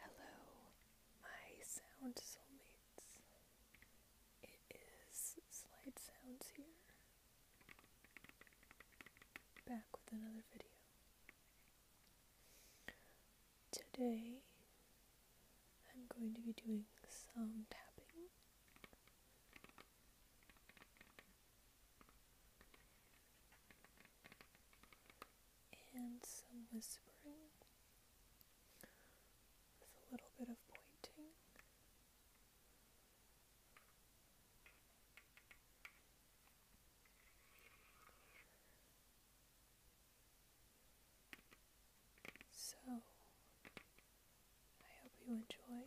Hello, my sound soulmates. It is Slide Sounds here, back with another video. Today, I'm going to be doing some tapping and some whispering with a little bit of pointing. So, I hope you enjoy.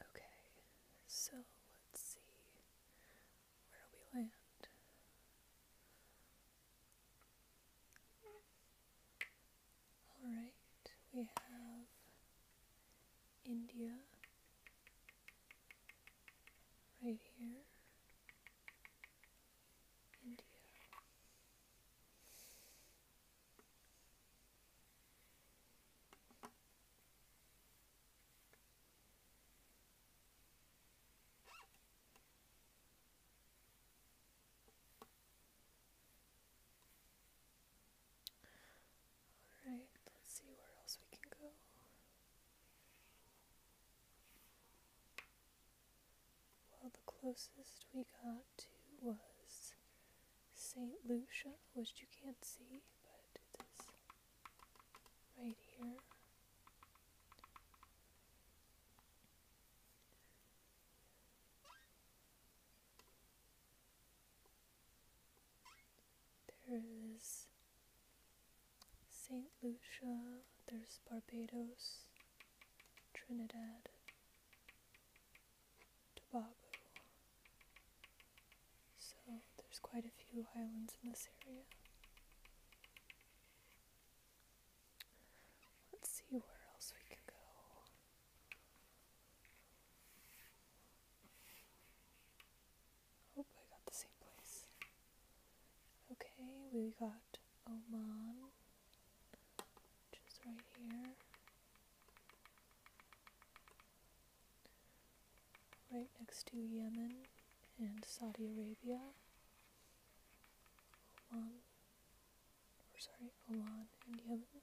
Okay, so let's see. Where we land? Alright, we have India right here. India. Alright, let's see where else we can go. Well, the closest we got to was St. Lucia, which you can't see, but it is right here. There is St. Lucia, there's Barbados, Trinidad, Tobago. So there's quite a few islands in this area. Let's see where else we can go. Hope I got the same place. Okay, we got Oman, which is right here. Right next to Yemen and Saudi Arabia. Oman, or sorry, Oman and Yemen.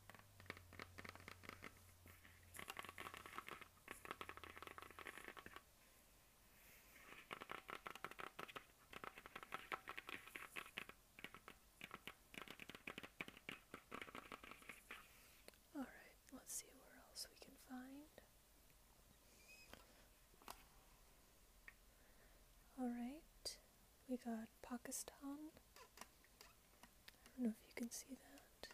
All right, let's see where else we can find. All right, we got Pakistan. I don't know if you can see that.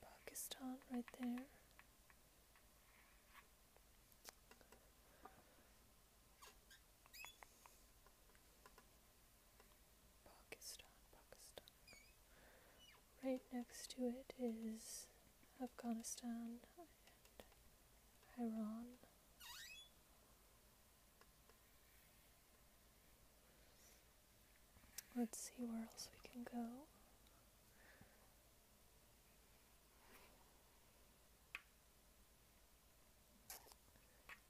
Pakistan right there. Pakistan, Pakistan. Right next to it is Afghanistan and Iran. Let's see where else we can go.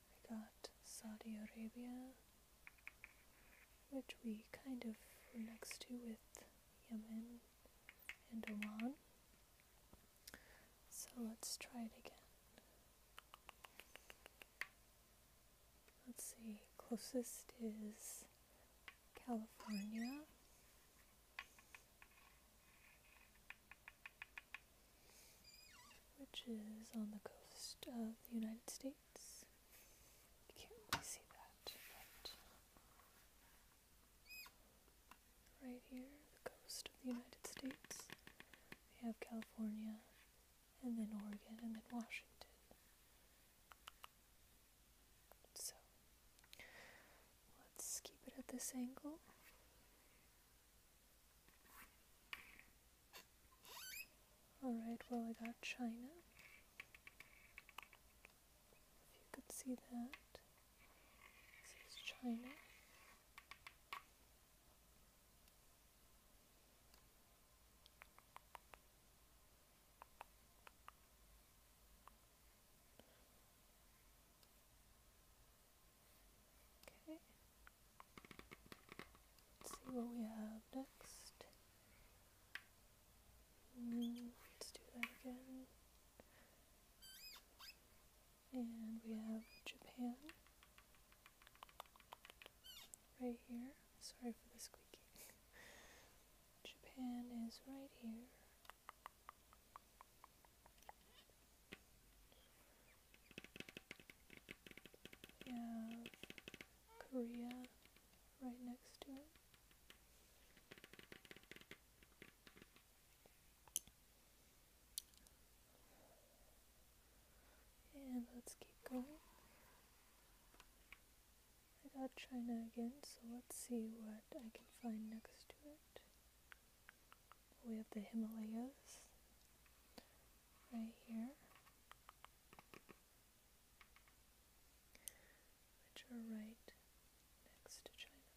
We got Saudi Arabia, which we kind of were next to with Yemen and Oman. So let's try it again. Let's see, closest is California. Which is on the coast of the United States. You can't really see that, right here, the coast of the United States. We have California, and then Oregon, and then Washington. So let's keep it at this angle. Alright, well, I got China. If you could see that, this is China. Okay. Let's see what we have next. Mm, let's do that again. And we have Japan right here. Sorry for the squeaking. Japan is right here. We have Korea right next to it. And let's keep going. I got China again, so let's see what I can find next to it. We have the Himalayas right here, which are right next to China.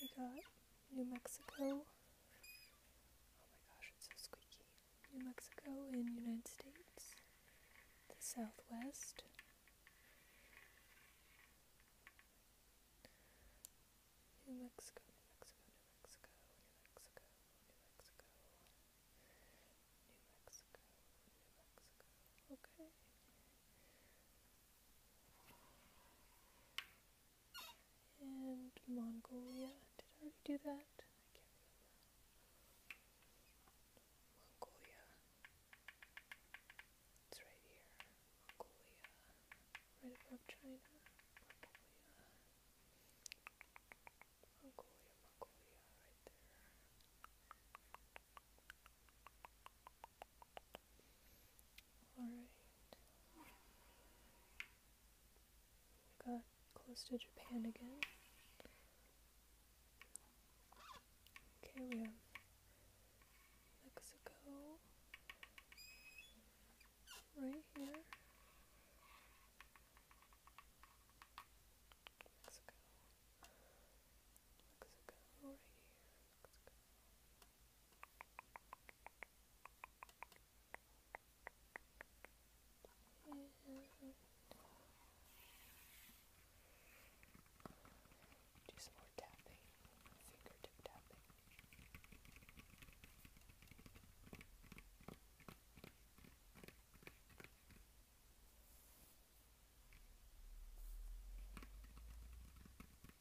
We got New Mexico. Oh my gosh, it's so squeaky. New Mexico in United States. The Southwest. New Mexico, New Mexico, New Mexico, New Mexico, New Mexico, New Mexico, New Mexico. Okay and Mongolia. Did I already do that? Mongolia. It's right here. Mongolia. Right above China. Mongolia. Mongolia, Mongolia, right there. Alright. Got close to Japan again. Okay, we have Mexico right here. Mexico. Mexico right do some more tapping, fingertip tapping.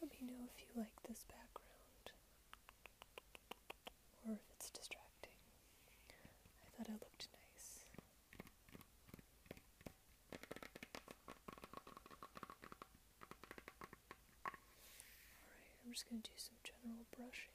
Let me know if you like this background or if it's distracting. I thought it looked nice. Alright, I'm just going to do some general brushing.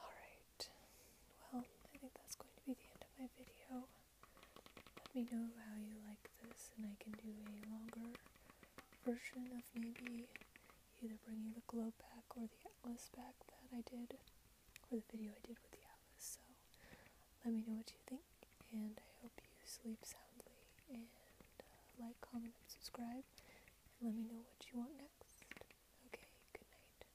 Alright, well, I think that's going to be the end of my video. Let me know how you like this, and I can do a longer version of maybe either bringing the globe back or the atlas back that I did, or the video I did with the atlas. So let me know what you think, and I hope you sleep soundly. And uh, like, comment, and subscribe, and let me know what you want next. Okay, good night.